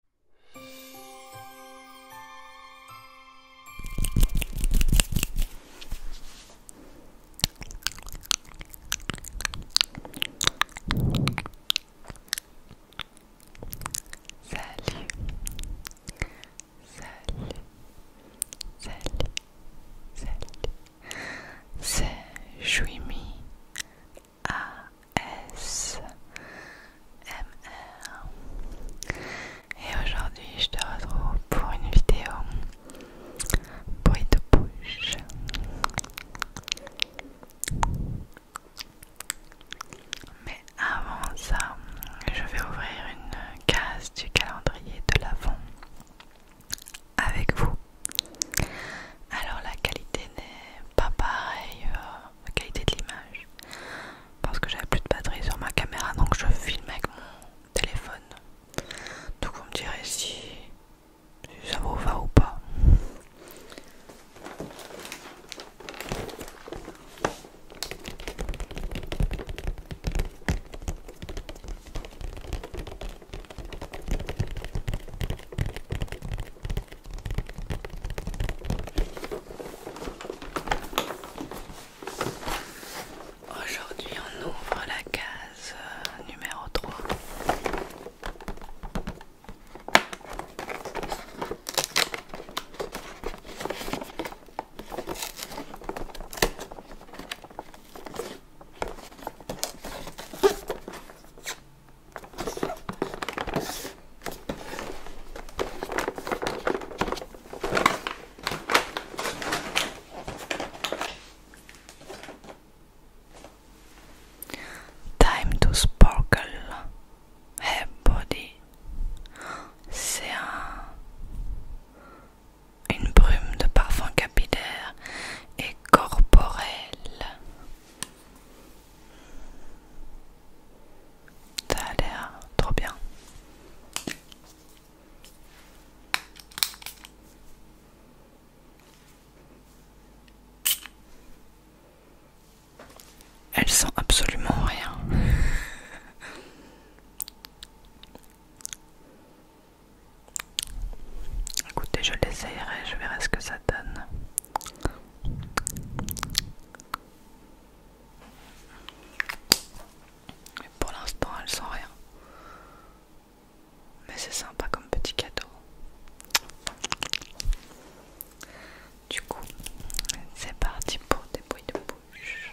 Salut, salut, salut, salut. C'est Jouimi ASMR. Et aujourd'hui, je te retrouve pour une vidéo bruit de bouche. Mais avant ça, je vais ouvrir une case du calendrier de l'avant avec vous. Alors la qualité n'est pas pareille euh, la qualité de l'image parce que j'avais plus de batterie sur ma caméra donc je filme avec mon téléphone donc vous me direz si, ça vous va ou pas Aujourd'hui, on ouvre la case euh, numéro 3. Time to sparkle everybody. body. C'est un, une brume de parfum capillaire et corporel. Ça a l'air trop bien. Elle sent absolument rien. Écoutez, je l'essayerai, je verrai ce que ça donne pour l'instant, elle sent rien. Mais c'est sympa comme petit cadeau. Du coup, c'est parti pour des bruits de bouche.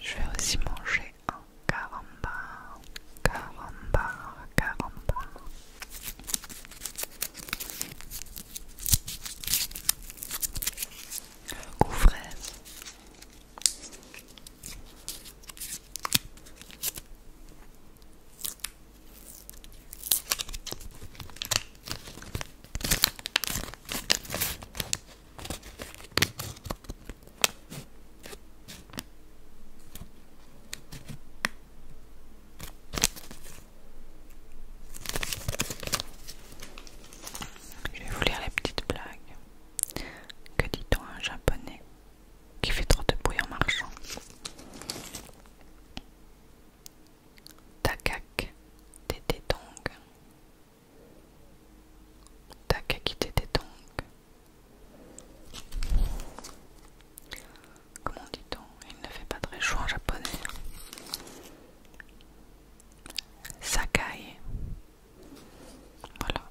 Je vais aussi manger un caramba, caramba, caramba Aux je vais vous lire les petites blagues. Que dit-on à un japonais qui fait trop de bruit en marchant Takak Tététong Takaki Comment dit-on Il ne fait pas très chaud en japonais Sakai Voilà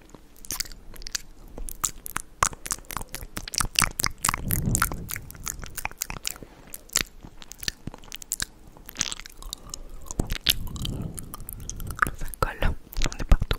Ça colle, on est partout.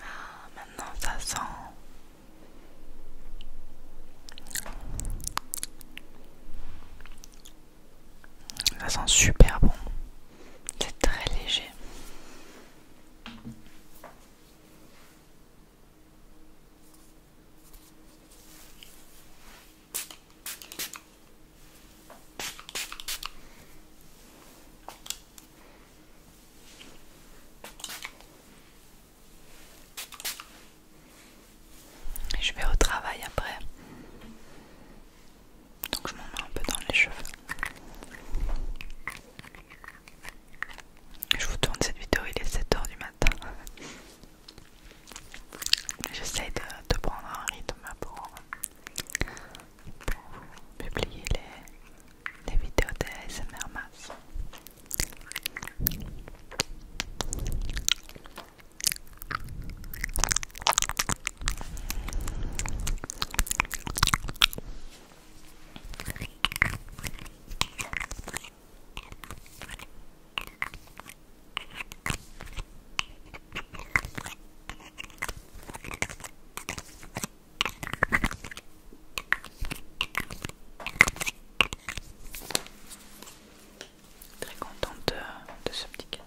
Ah, maintenant ça sent. Ça sent super bon. C'est très léger. Je vais au travail après. Donc je m'en mets un peu dans les cheveux. Je vous tourne cette vidéo, il est 7h du matin. J'essaie de, prendre un rythme pour, publier les, vidéos de ASMR Très contente de, ce petit cadeau.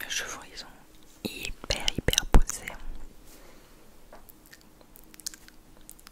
Mes cheveux ils sont hyper hyper posés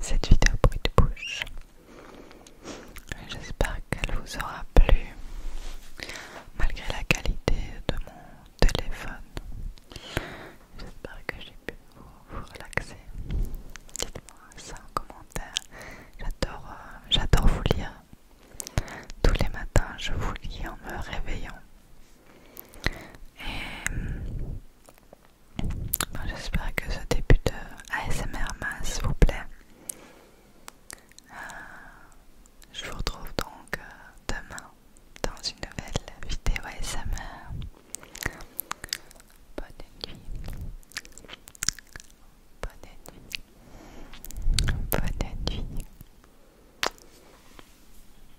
cette vidéo bruit de bouche. J'espère qu'elle vous aura plu malgré la qualité de mon téléphone. J'espère que j'ai pu vous, relaxer. Dites-moi ça en commentaire. J'adore, euh, j'adore vous lire. Tous les matins, je vous lis en me réveillant. Et J'espère que ce début de ASMR masse vous plaît. Euh, je vous retrouve donc euh, demain dans une nouvelle vidéo ASMR. Bonne nuit. Bonne nuit. Bonne nuit.